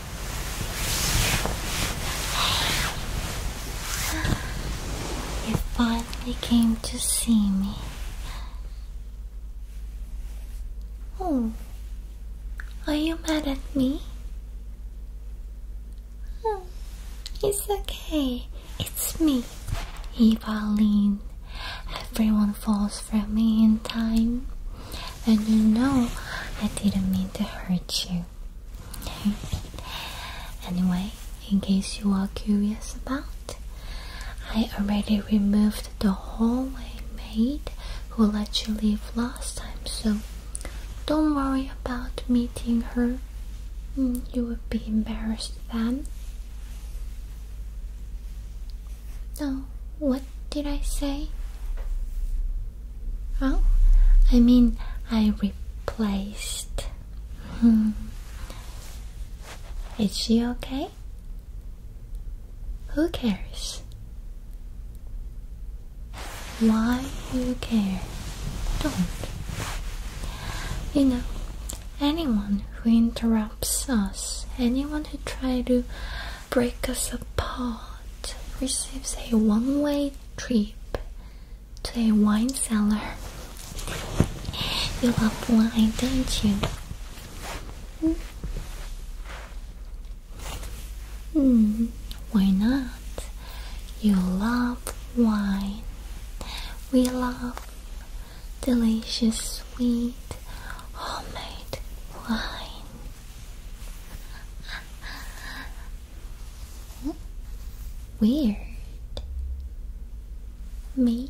now. You finally came to see me. Oh, are you mad at me? Oh, it's okay. It's me, Evaline. Everyone falls for me in time. And you know I didn't mean to hurt you. Anyway, in case you are curious about, I already removed the hallway maid who let you leave last time, so don't worry about meeting her. Mm, you would be embarrassed then. So, what did I say? Oh, I mean, I replaced. Hmm. Is she okay? Who cares? Why you care? Don't. You know, anyone who interrupts us, anyone who tries to break us apart, receives a one way trip to a wine cellar. You love wine, don't you? Hmm? Hmm, why not? You love wine. We love delicious, sweet, homemade wine. Weird. Me?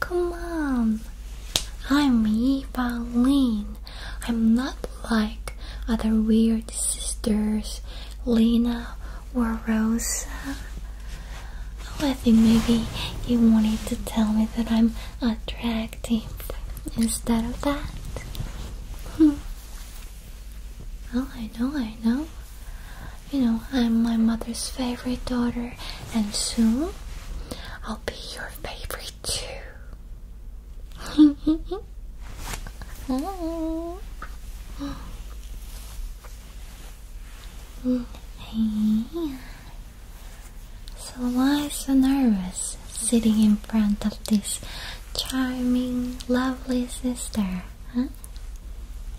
Come on. I'm me, Pauline. I'm not like other weird sisters, Lena or Rosa. Oh, I think maybe you wanted to tell me that I'm a drag instead of that. oh, I know, I know. You know, I'm my mother's favorite daughter, and soon I'll be your favorite too. Hmm. So why so nervous sitting in front of this charming, lovely sister? Huh?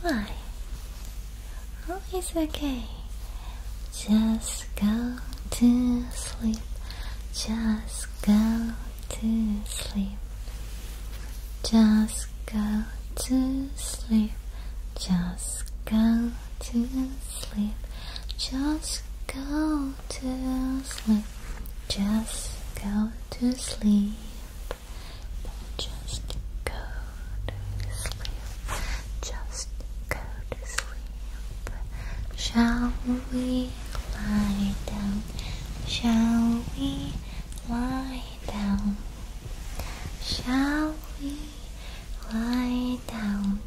Why? Oh, it's okay. Just go to sleep. Just go to sleep. Just go to sleep. Just go to sleep. Just go to sleep. Just go to sleep. Just go to sleep. Just go to sleep. Shall we lie down? Shall we lie down? Shall we lie down?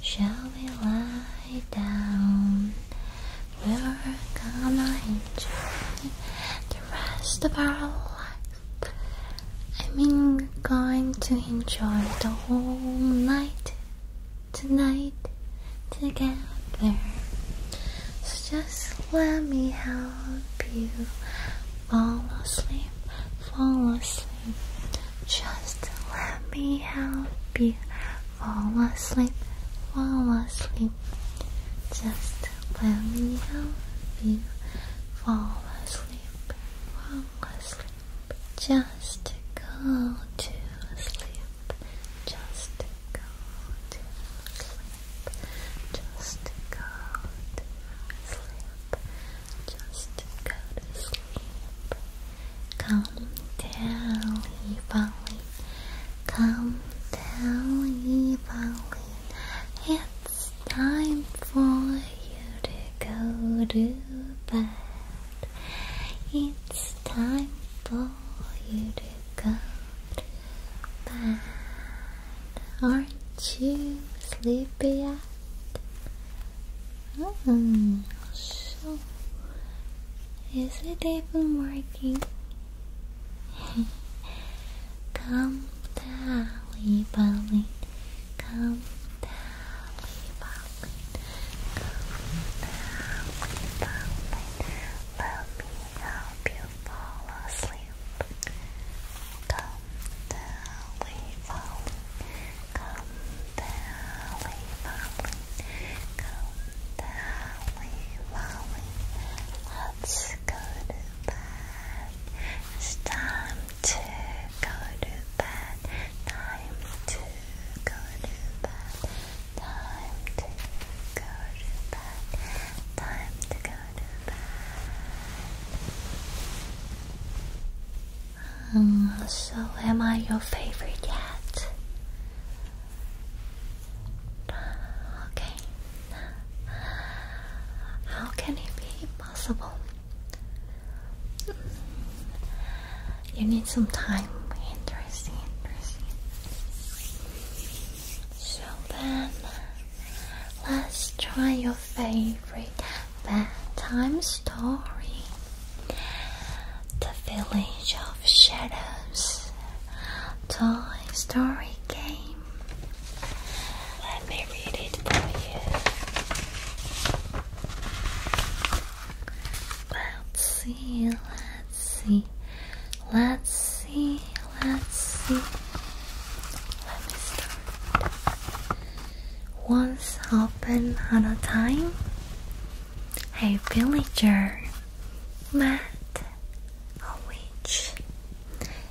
Shall we lie? down. We're gonna enjoy the rest of our life. I mean, we're going to enjoy the whole night tonight together. So just let me help you fall asleep, fall asleep. Just let me help you fall asleep, fall asleep. Just let me help you fall asleep, fall asleep. Just go to sleep, just go to sleep, just go to sleep. Just go to sleep. Come down, Valley. Come down, Valley. It's time for you to go to bed. It's time for you to go to bed. Aren't you sleepy yet? Mm, so, is it even working? Come down, Balin. Come down, Balin. Come down, Balin. Let me help you fall asleep. Come down, Balin. Come Valley, Valley, come Valley, Valley. Let's go to bed. It's time to go to bed. Time to go to bed. Time to go to bed. Time to go to bed. Um, so, am I your favorite yet? Okay. How can it be possible? You need some time. Interesting, interesting. So then, let's try your face favorite bedtime story The Village of Shadows Toy Story Game. Let me read it for you. Let's see, let's see, let's see, let's see. Let me start once open at a time. A villager met a witch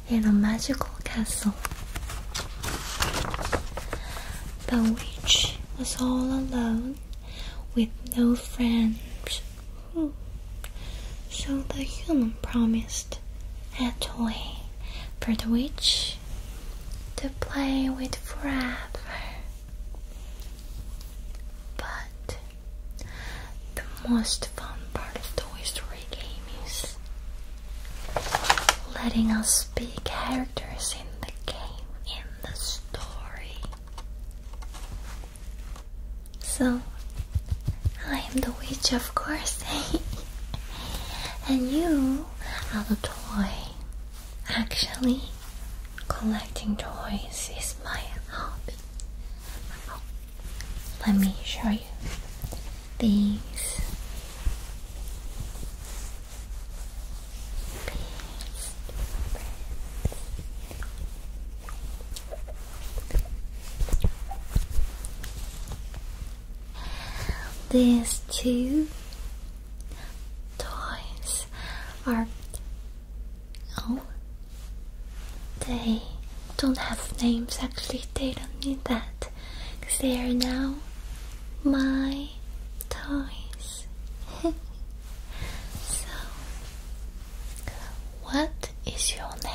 in a magical castle. The witch was all alone with no friends. Hmm. So the human promised a toy for the witch to play with forever. But the most fun part of Toy Story game is letting us be characters in the game, in the story. So, I am the witch, of course, and you Another toy. Actually, collecting toys is my hobby. let me show you these these two toys are. Oh, they don't have names actually, they don't need that because they are now my toys. so, what is your name?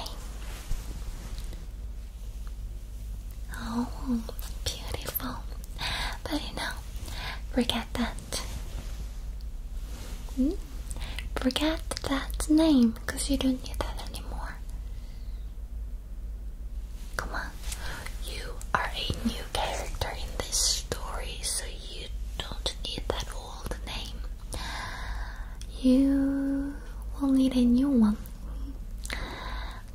Oh, beautiful. But you know, forget that. Hmm? Forget that name because you don't need that anymore. Come on, you are a new character in this story, so you don't need that old name. You will need a new one.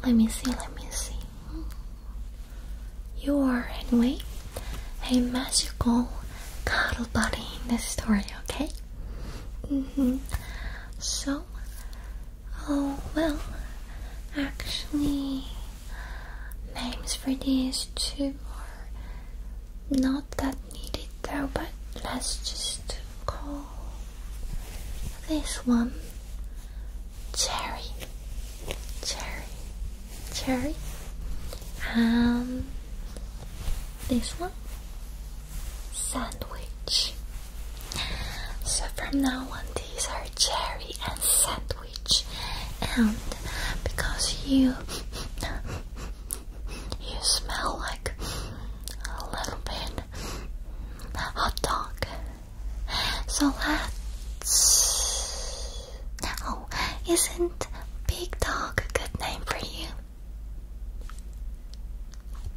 Let me see, let me see. You are, anyway, a magical cuddle buddy in this story, okay? Mm-hmm. So, oh well, actually, names for these two are not that needed though, but let's just call this one cherry, cherry, cherry, and um, this one sandwich. So from now on, these are cherry and sandwich, and because you you smell like a little bit hot dog. So let's. Oh, isn't Big Dog a good name for you?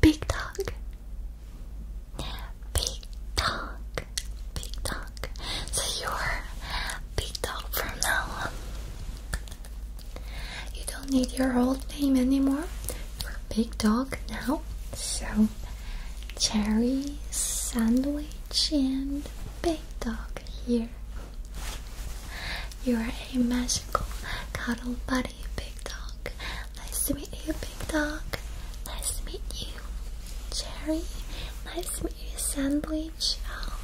Big Dog. Big Dog. Big Dog. So you're Big Dog from now on. You don't need your old name anymore for big dog now. So, cherry sandwich and big dog here. You are a magical cuddle buddy, big dog. Nice to meet you, big dog. Nice to meet you, cherry. Nice to meet you, sandwich. Oh,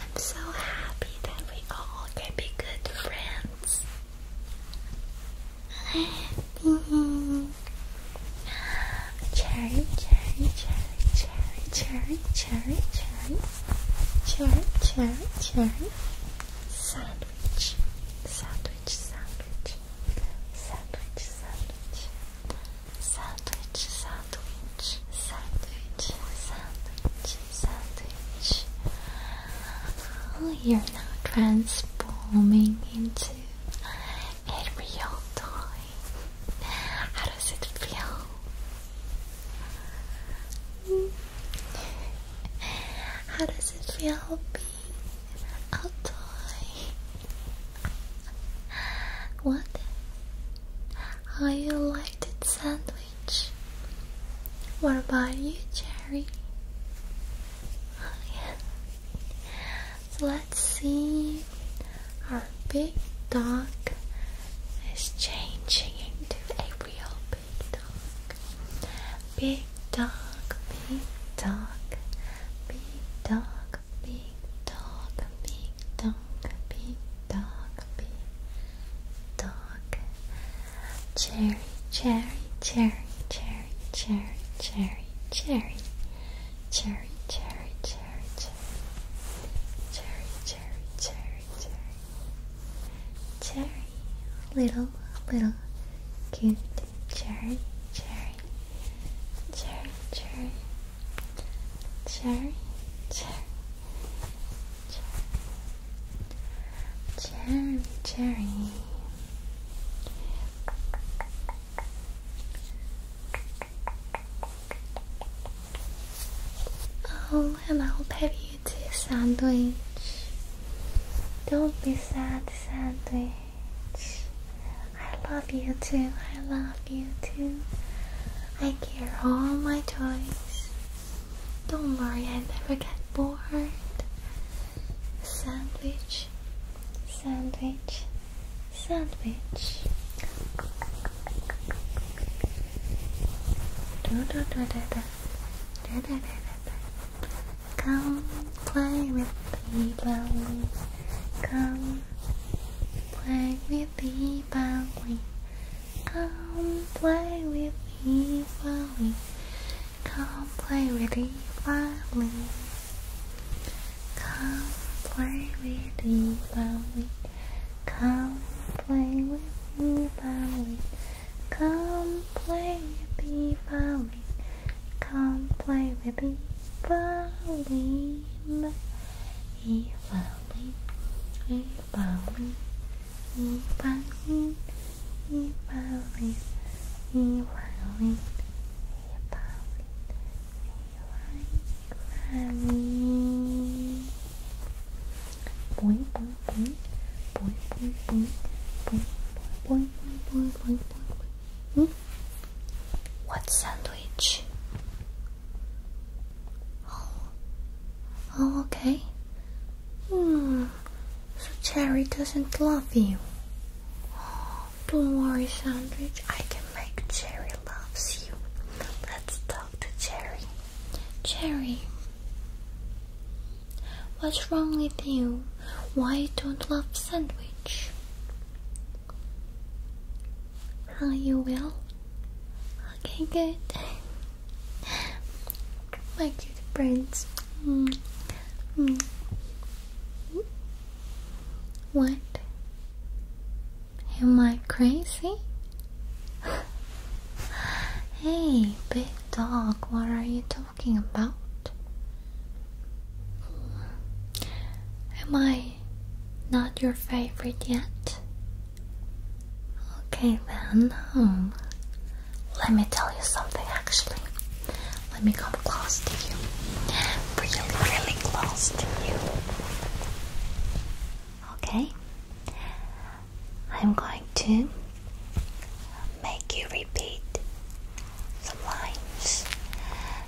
I'm so happy that we all can be good friends. Cherry, cherry, cherry, cherry, cherry, cherry, cherry, cherry, cherry, cherry, sandwich, sandwich, sandwich, sandwich, sandwich, sandwich, sandwich, sandwich, sandwich, sandwich, sandwich. Oh, you're now transforming into a real toy. How does it feel? How does it feel be a toy? What? How you liked it sandwich? What about you, Cherry? Oh, yeah. So let's see. Our big dog is changing into a real big dog. Big dog, big dog, big dog, big dog, big dog, big dog, big dog. Big dog. Cherry, cherry, cherry, cherry, cherry, cherry, cherry, cherry, cherry, cherry, cherry, cherry, cherry, cherry, cherry, little, little, cute, cherry, cherry, cherry, cherry, cherry, cherry, Cherry, cherry. Oh, and I'll pay you to sandwich. Don't be sad, sandwich. I love you too. I love you too. I care all my toys. Don't worry, I never get bored. Sandwich, sandwich, sandwich. Do do do do do do do do do. Come play with the Come play with the Come play with me, Polly. Come play with me, Polly. Come play with me, Polly. Come play with me, Polly. Come play with me, Polly. Come play with me, Polly. Polly, Polly, Polly, Polly. Evaluate, evaluate, evaluate, evaluate. Boing, boing, boing, boing, boing, boing, boing, boing, boing, boing, boing, boing. What sandwich? Oh, oh, okay. Hmm. So Cherry doesn't love you. don't worry, Sandwich. I can make Cherry loves you. Let's talk to Cherry. Cherry, what's wrong with you? Why don't love Sandwich? Are you will. Okay, good. My cute friends. Mm. mm. What? Am I crazy? hey, big dog, what are you talking about? Am I not your favorite yet? Okay, then, hmm. Let me tell you something actually. Let me come close to you. Really, really close to you. Okay? I'm going to make you repeat the lines.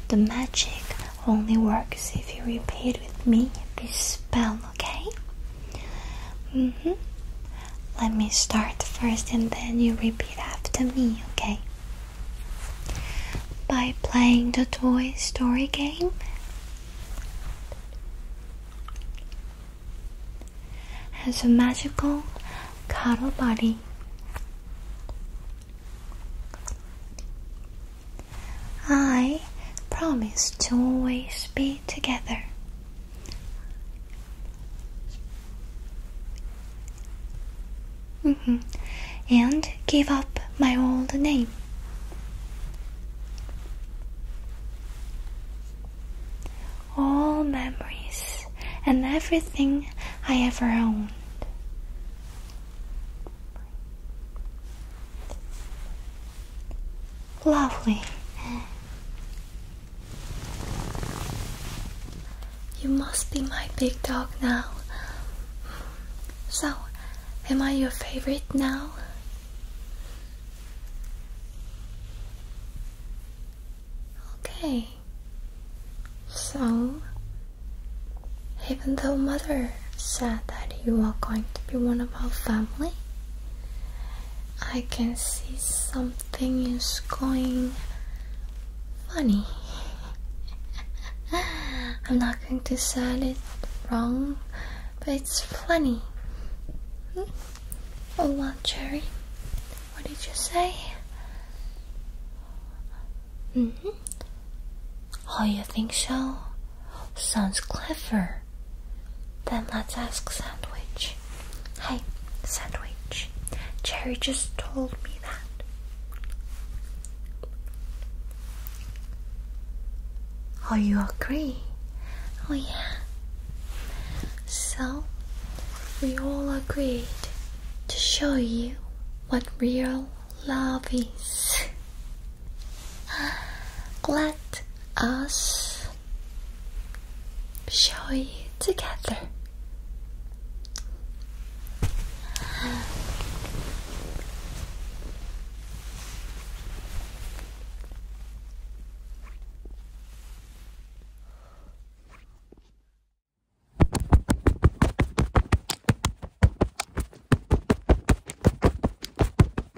The magic only works if you repeat with me this spell okay? Mm-hmm. Let me start first and then you repeat after me, okay? By playing the Toy Story game. Has a magical cuddle buddy. I promise to always be together. Mm-hmm. And give up my old name. All memories and everything I ever owned. Lovely. You must be my big dog now. So, am I your favorite now? Okay. So, even though mother said that you are going to be one of our family, I can see something is going funny. I'm not going to say it wrong, but it's funny. Hmm? Oh, well, Cherry, what did you say? hmm. Oh, you think so? Sounds clever. Then let's ask Sandwich. Hey, Sandwich. Jerry just told me that. Oh, you agree? Oh, yeah. So, we all agreed to show you what real love is. Let us show you together.